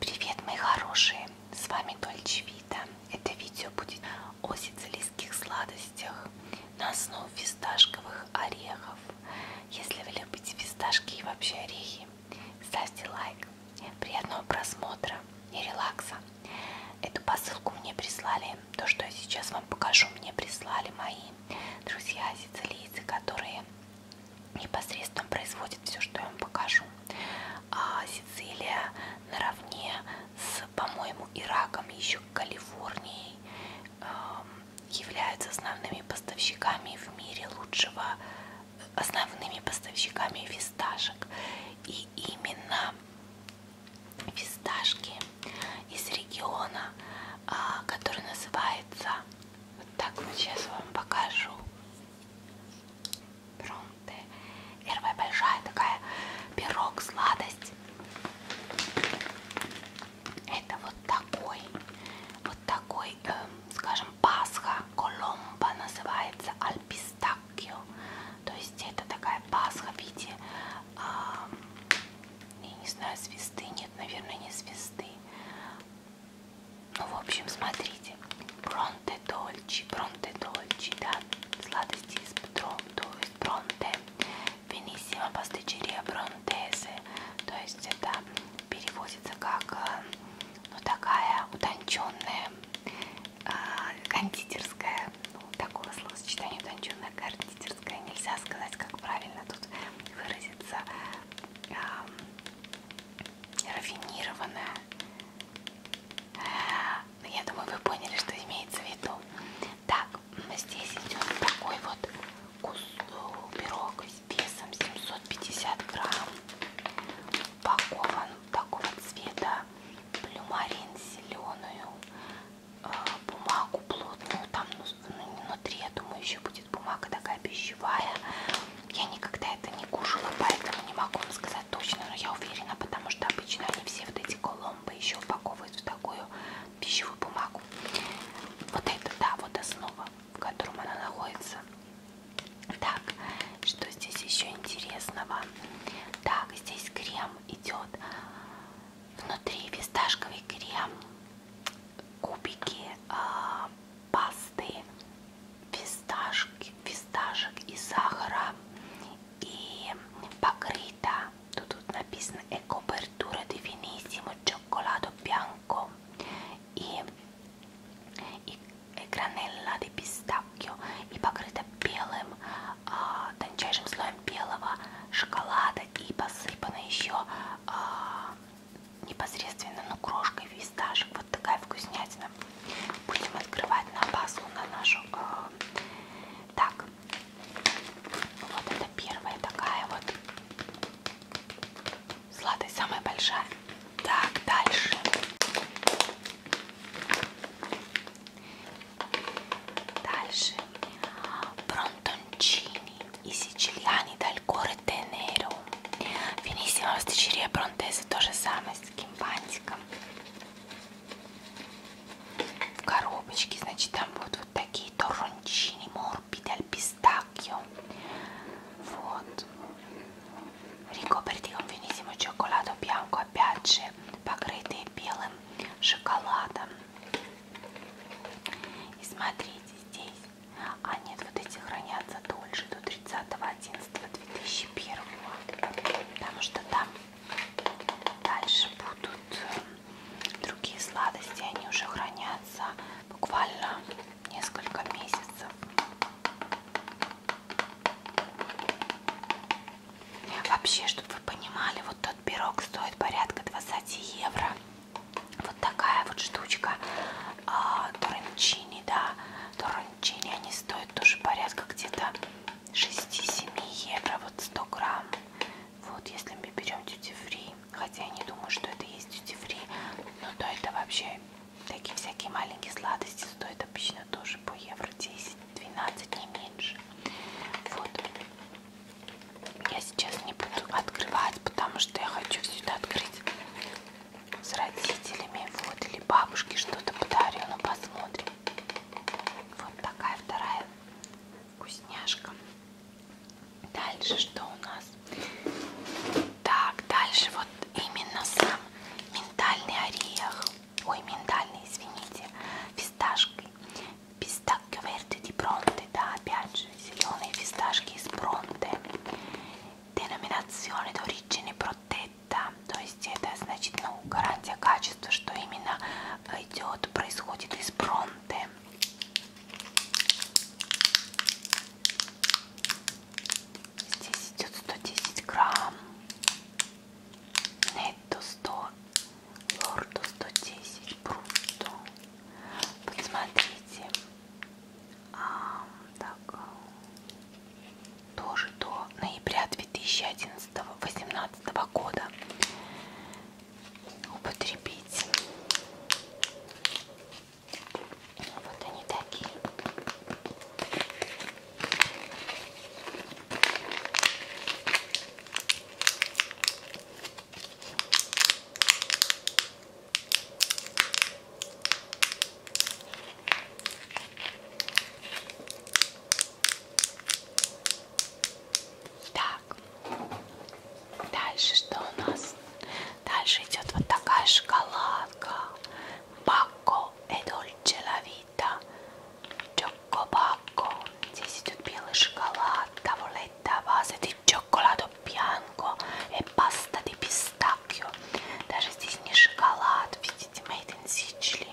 Привет, мои хорошие! С вами Дольче Вита. Это видео будет о сицилийских сладостях на основе фисташковых орехов. Если вы любите фисташки и вообще орехи, ставьте лайк. Приятного просмотра и релакса. Эту посылку мне прислали, то, что я сейчас вам покажу, мне прислали мои друзья сицилийцы, которые непосредственно производит все, что я вам покажу. А Сицилия наравне с, по-моему, Ираком, еще Калифорнией эм, являются основными поставщиками в мире лучшего, основными поставщиками фисташек. И именно фисташки из региона, а, который называется вот так вот сейчас вам покажу. Пронты. Первая большая такая пирог, сладость. Это вот такой, вот такой, э, скажем, пасха, коломба называется, альпистакио. То есть это такая пасха в виде, э, я не знаю, звезды, нет, наверное, не звезды. Ну, в общем, смотрите. Бронте дольче, бронте дольче, да, сладости из петром, то есть бронте, венисима пастычерия бронтезе, то есть это переводится как, э, ну, такая утонченная э, кондитерская, ну, такого словосочетания утонченная кондитерская, нельзя сказать, как правильно тут выразиться, э, рафинированная. Э, я думаю, вы поняли, что имеется в виду. Так, здесь идет такой вот кус пирог весом 750 грамм. Упакован такого цвета плюмарин зеленую э, бумагу плотную, там ну, внутри, я думаю, еще будет бумага такая пищевая. Я никогда это не кушала, поэтому не могу вам сказать точно, но я уверена, потому что обычно они все вот эти коломбы еще упаковывают в такую пищевую бумагу. Вот это, да, вот основа, в котором она находится. Так, что здесь еще интересного? Так, здесь крем идет. Внутри фисташковый крем кубики э, пасты, фисташки, фисташек и сахара и покрыта, тут, тут написано «E copertura di finissimo cioccolato bianco» и, и, и гранелла di pistacchio и покрыта белым, э, тончайшим слоем белого шоколада и посыпана еще а, непосредственно, ну, крошкой фисташек. Вот такая вкуснятина. Будем открывать на пасху, на нашу. А, так, вот это первая такая вот сладость, самая большая. Так, дальше. Дальше. Бронтончини y siciliani dal cuore tenero finissima la Sicilia Бронтезе то же самое с таким бантиком в коробочке значит там будут вот такие торончини морбиди al pistacchio вот ricoperti con finissimo cioccolato bianco a piace покрытые белым шоколадом и смотрите здесь. А нет, вот эти хранятся дольше, до 30.11.2001. Потому что там дальше будут э, другие сладости. Они уже хранятся буквально несколько месяцев. Вообще, чтобы вы понимали, вот этот пирог стоит порядка 20 евро. Вот такая вот штучка. А, Торончини, да. Торончини, они стоят тоже порядка где-то 6-7 евро. Вот 100 грамм. Вот если мы берем duty free, хотя я не думаю, что это есть duty free, но то это вообще такие всякие маленькие сладости стоят обычно тоже по евро 10-12, не меньше. Вот. Я сейчас не буду открывать, потому что я хочу сюда открыть с родителями. Вот, или бабушке что-то подарю, но ну, посмотрим. Вот такая вторая вкусняшка. Дальше что у нас? Так, дальше вот именно сам миндальный орех. Ой, миндальный, извините, фисташкой пистакка верди di Bronte, da Piaggio Silone e Fistacchi Spronte. Denominazione d'origine protetta, то есть это значит ну, гарантия качества, что именно идет, происходит из Бронте. Здесь идет 110 грамм, нетто 100 Лорду 110 Бруту. Посмотрите. А, так. А, тоже до ноября 2011-2018 года употребить. Вот они такие. Так, дальше что у нас? Дальше идет вот такая шоколадка. Бако Эдоль Челавита Cioccopacco, здесь идет белый шоколад, таблетта база di cioccolato bianco и e паста di pistacchio. Даже здесь не шоколад, видите, made in Sicily.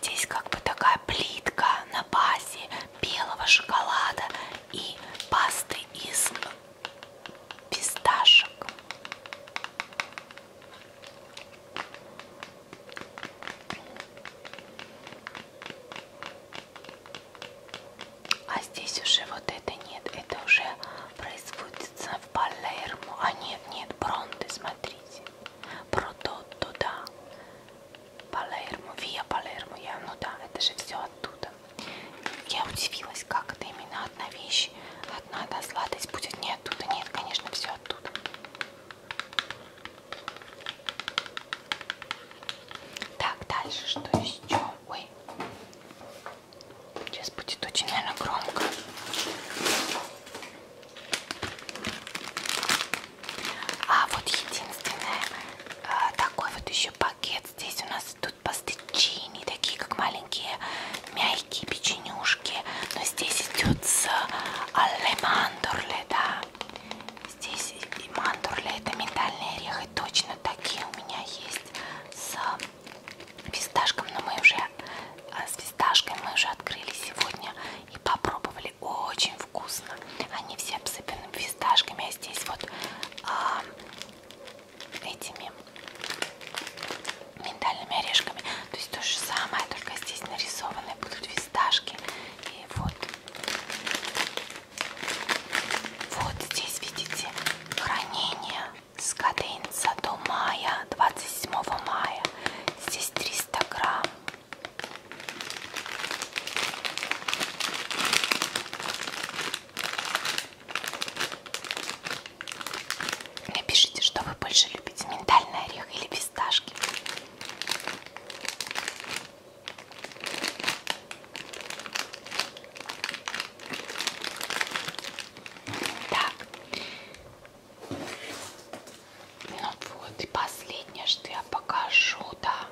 Здесь как бы такая плитка на базе белого шоколада и пасты из писташек. А здесь уже вот это нет, это уже производится в Палермо. А нет, нет, Бронте, смотрите. Прототто, да. Палермо, Виа Палермо, я, ну да, это же все оттуда. Я удивилась, как это именно одна вещь, одна, одна сладость будет не не оттуда, нет, конечно, все оттуда. Так, дальше что еще? Ой, сейчас будет очень, наверное, громко. А вот единственное, э, такой вот еще пакет. Здесь у нас тут пастычини, такие как маленькие маленькие мягкие печенюшки. Но здесь идет с алле мандурле, да. Здесь и мандурле, это миндальные орехи. Точно такие у меня есть с э, фисташком. Но мы уже э, с фисташкой мы уже открыли сегодня и попробовали. Очень вкусно. Они все обсыпаны фисташками. А здесь вот а, этими миндальными орешками. То есть то же самое, только здесь нарисованы будут фисташки. И вот, вот здесь видите хранение с каденца до мая, 27 мая. Здесь 300 грамм. Напишите, что вы больше любите, миндальный орех или фисташки. Так. Ну вот, и последнее, что я покажу, да.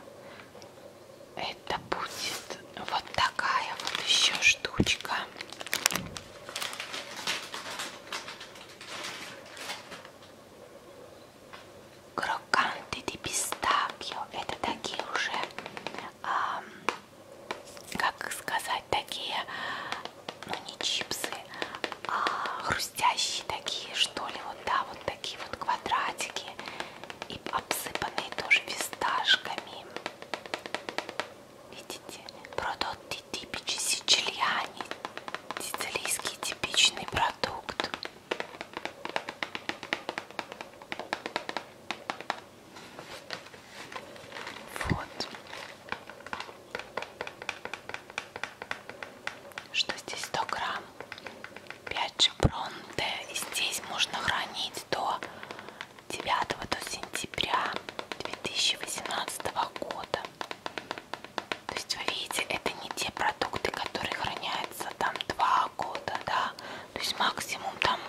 Это будет вот такая вот еще штучка. Кроканты де пистакио. Это такие уже, а, как сказать, такие, ну не чипсы, а хрустящие такие, что ли, вот да, вот такие вот квадратики и обсыпанные тоже фисташками. Видите? Продукты типичи сицилиани. Сицилийский типичный продукт. Вот. Что здесь 100 грамм? 5 же бронте. И здесь можно хранить до 9 до сентября 2018 года. То есть вы видите, это не те продукты, которые хранятся там 2 года, да, то есть максимум там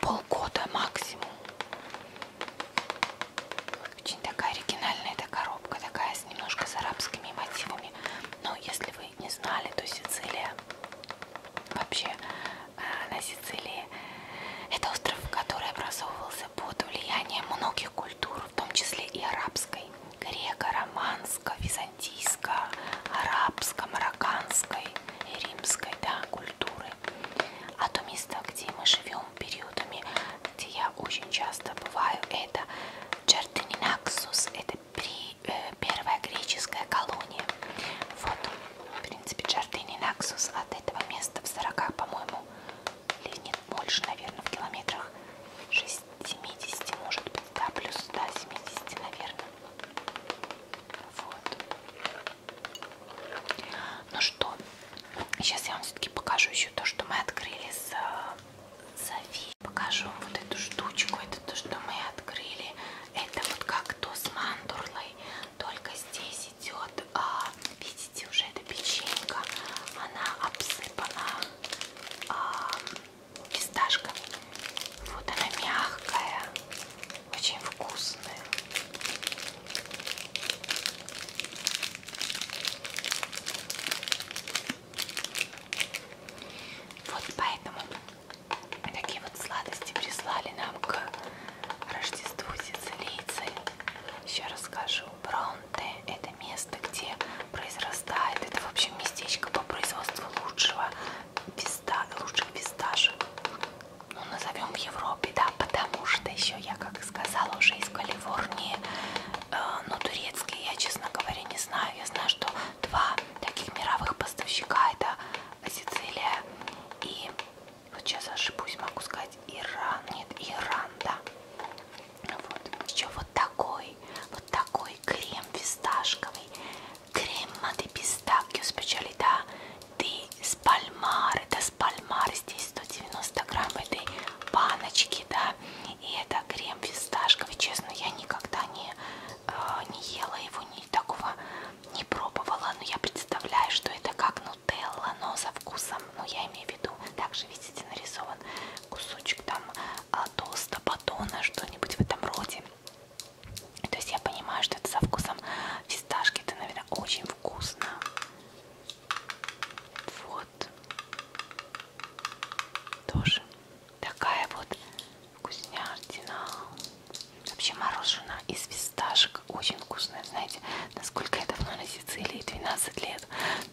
полгода максимум. Очень такая оригинальная эта коробка, такая с немножко с арабскими мотивами. Но если вы вы не знали, то Сицилия вообще э, на Сицилии это остров, который образовывался под влиянием многих культур, в том числе и арабской, греко-романско, византийско, арабско, марокканской и римской да, культуры. А то место, где мы живем периодами, где я очень часто бываю, это Черденинаксус, это при, э, первая греческая колония. Вот, в принципе, Джардини Наксус от этого места в 40, по-моему, или нет, больше, наверное, в километрах 60, 70, может быть, да, плюс 170, наверное. Вот. Ну что, сейчас я вам все-таки покажу еще то, что мы открыли с Софией. Покажу вот эту штучку, это то, что мы открыли это вот как то с мандурлой, только здесь идет, а, видите, уже эта печенька, она обсыпана а, фисташками. Вот она мягкая, очень вкусная. Вот поэтому Такие вот сладости прислали нам к Рождеству сицилийцы. Еще расскажу. Бронте – это место, где произрастает, это, в общем, местечко по производству лучшего писта, лучших писташек. Ну, назовем в Европе, да, потому что еще я, как и сказала, уже из Калифорнии, э, но ну, турецкий я, честно говоря, не знаю. Я знаю, что два таких мировых поставщика это Сицилия и вот сейчас ошибусь, могу сказать Иран, нет, Иран, да. Вот. Еще вот такой, вот такой крем фисташковый, крема де пистакио специалита ди спальмар, это спальмар, здесь 190 грамм этой баночки, да, и это крем фисташковый. Честно, я никогда не, э, не ела его, ни такого не пробовала. Но я представляю, что это как нутелла, но со вкусом. Ну, я имею в виду, также, видите, нарисован кусочек там э, а, толста, батона, что-нибудь в этом роде. То есть я понимаю, что это со вкусом фисташки. Это, наверное, очень вкусно. Вот. Тоже Такая вот вкуснятина. Вообще мороженое из фисташек очень вкусное. Знаете, насколько я давно на Сицилии, 12 лет.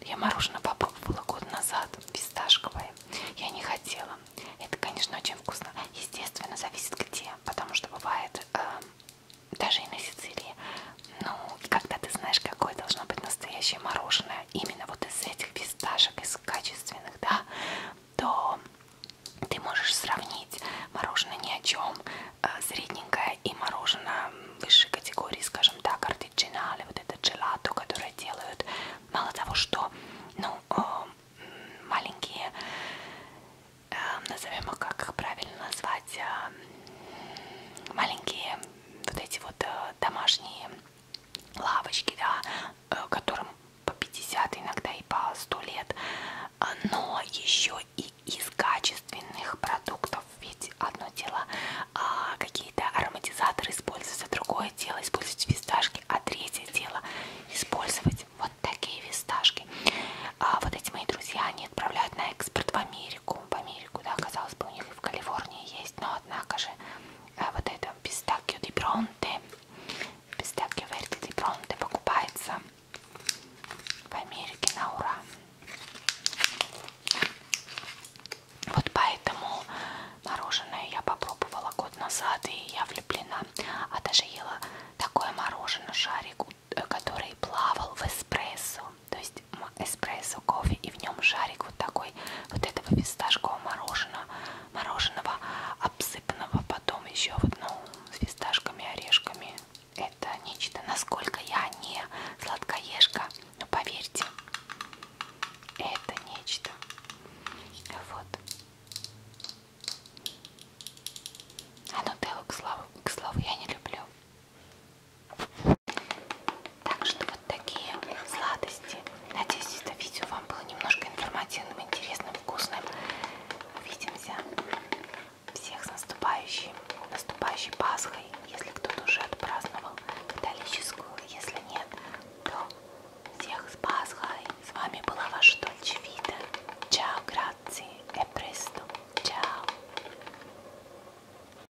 Я мороженое попробовала год назад, фисташковое. Я не хотела. Это, конечно, очень вкусно. Естественно, зависит где, потому что бывает э, даже и на Сицилии. Ну, когда ты знаешь, какое должно быть настоящее мороженое, именно вот из этих фисташек, из качества качественных, да, то ты можешь сравнить мороженое ни о чем, э, средненькое и мороженое высшей категории, скажем так, артичинале, вот это джелато, которое делают, мало того, что, ну, э, маленькие, э, назовем их, как их правильно назвать, маленькие вот эти вот домашние лавочки, да, э, которым по 50, иногда и по 100 лет, а, но еще и из качественных продуктов, ведь одно дело а, какие-то ароматизаторы использовать, а другое дело использовать фисташки, а третье дело использовать вот такие фисташки. А, вот эти мои друзья, они отправляют на экспорт в Америку, в Америку, да, казалось бы, у них и в Калифорнии есть, но но однако же а, вот это пистакио ди бронте пистакио верди ди бронте покупается в Америке на ура вот поэтому мороженое я попробовала год назад и я влюблена а даже ела такое мороженое шарик э, который плавал в эспрессо то есть там эспрессо, кофе и в нем шарик вот такой вот этого фисташкового мороженого, мороженого обсыпанного потом еще вот ну с фисташками, орешками. Это нечто. Насколько я не сладкоежка, но поверьте, это нечто. Вот. А нутеллу, к слову, к слову, я не люблю. Так что вот такие сладости. Надеюсь, это видео вам было немножко информативным, интересным, вкусным. Увидимся. Всех с наступающей, наступающей Пасхой. Если кто-то уже отпраздновал католическую, если нет, то всех с Пасхой. С вами была ваша Дольче Вита. Чао, грации, эпресто. Чао.